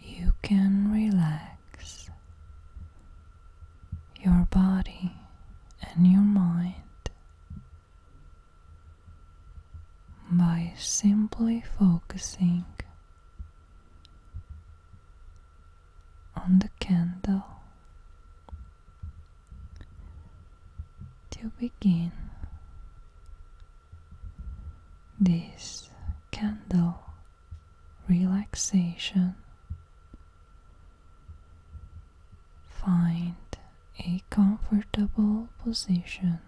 You can relax your body and your mind by simply focusing on the candle. To begin, this candle relaxation. Find a comfortable position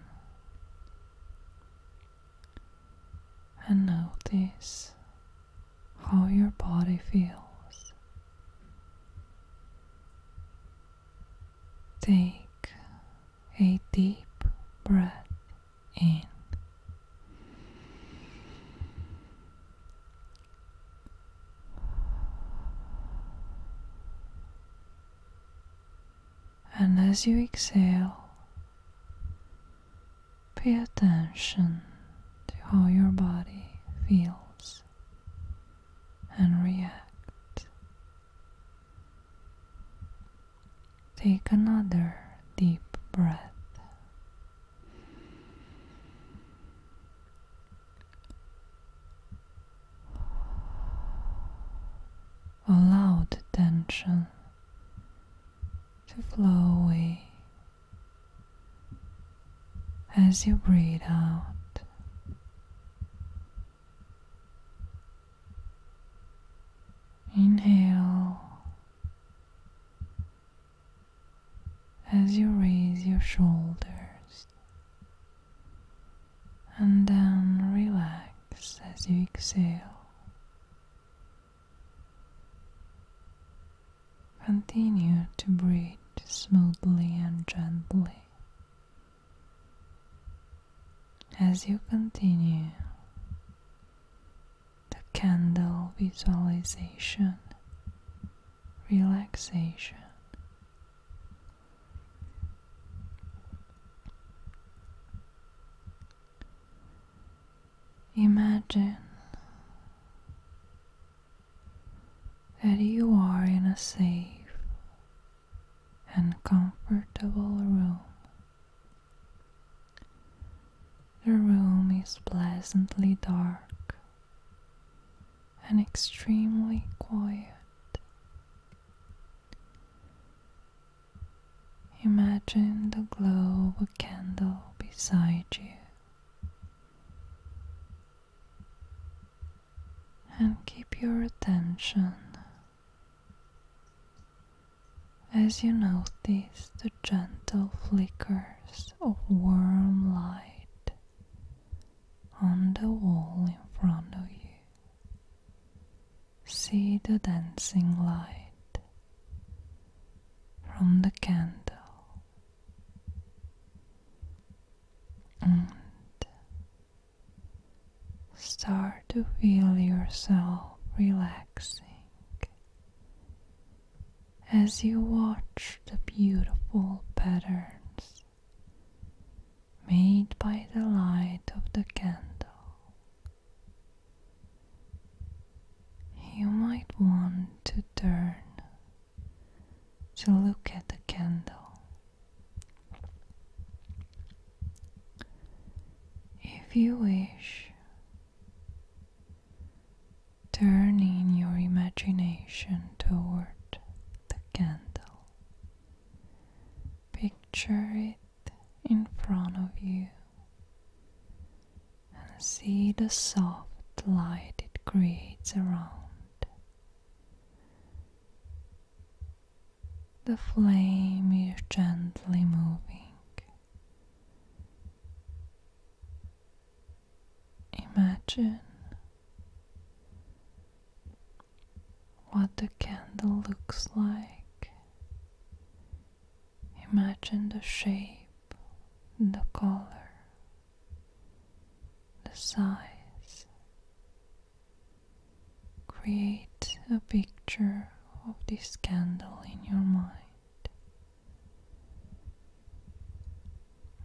and notice how your body feels. Take a deep breath in. And as you exhale, pay attention to how your body feels and reacts. Take another deep breath. Allow the tension to flow away as you breathe out. Inhale as you raise your shoulders and then relax as you exhale. Continue to breathe smoothly and gently. As you continue the candle visualization, relaxation. Imagine that you are in a safe and comfortable room. The room is pleasantly dark and extremely quiet. Imagine the glow of a candle beside you. And keep your attention as you notice the gentle flickers of warm light on the wall in front of you, see the dancing light from the candle. Start to feel yourself relaxing as you watch the beautiful patterns made by the light of the candle. You might want to turn to look at the candle if you wish, turn your imagination toward the candle. Picture it in front of you and see the soft light it creates around. The flame is gently moving. Imagine what the candle looks like. Imagine the shape, the color, the size, Create a picture of this candle in your mind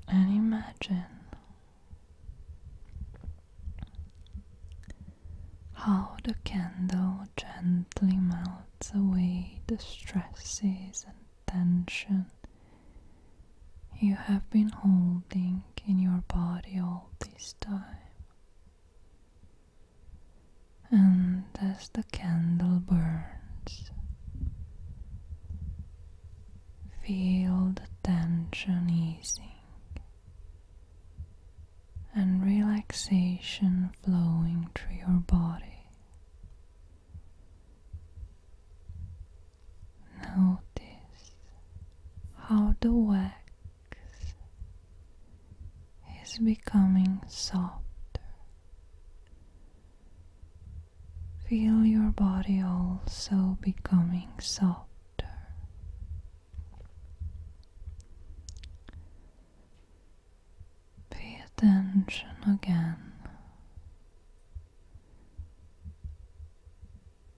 and imagine how the candle gently melts away the stresses and tension you have been holding in your body all this time. And as the candle burns, feel the tension easing and relaxation flowing through your body. Notice how the wax is becoming softer. Feel your body also becoming softer. Pay attention again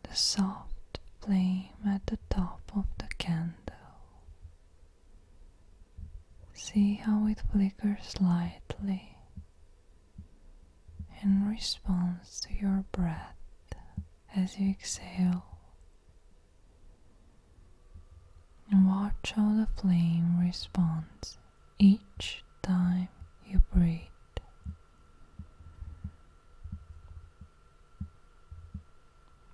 the soft flame at the top of the candle. See how it flickers lightly in response to your breath as you exhale. watch how the flame responds each time you breathe.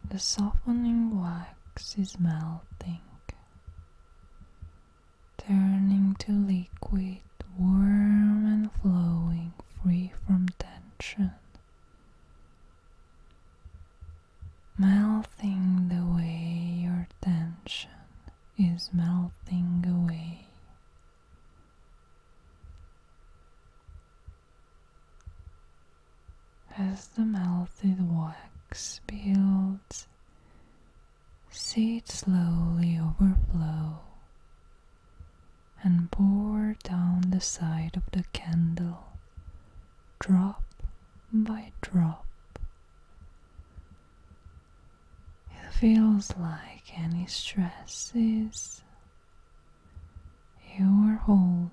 The softening wax is melting, turning to liquid warm and flowing, free from tension. Melting the way your tension is melting away. As the melted wax builds, see it slowly overflow and pour down the side of the candle, drop by drop. It feels like any stresses you're holding.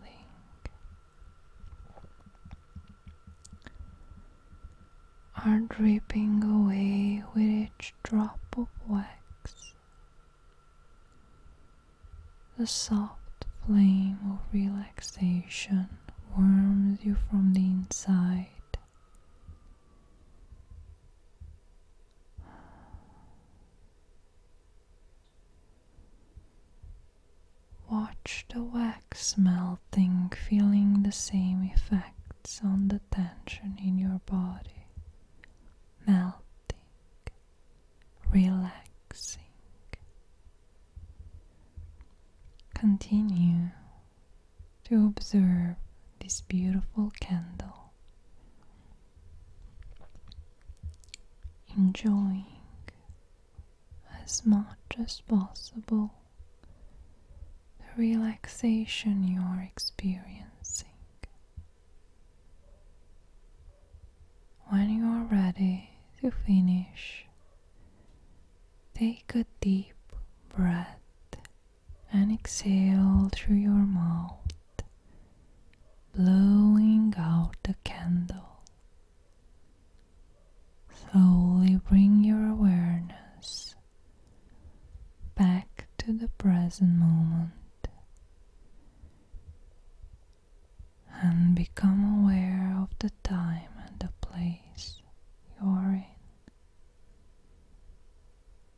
Are dripping away with each drop of wax. The soft flame of relaxation warms you from the inside. Watch the wax melting, feeling the same effects on the tension in your body, melting, relaxing. Continue to observe this beautiful candle enjoying as much as possible the relaxation you are experiencing. When you are ready to finish, take a deep breath and exhale through your mouth, blowing out the candle. Slowly bring your awareness back to the present moment and become aware of the time and the place you're in.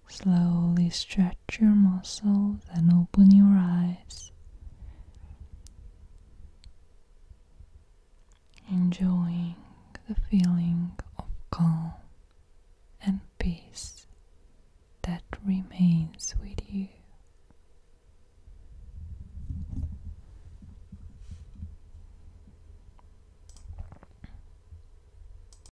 Slowly stretch your muscles and open your eyes. Enjoying the feeling of calm and peace that remains with you.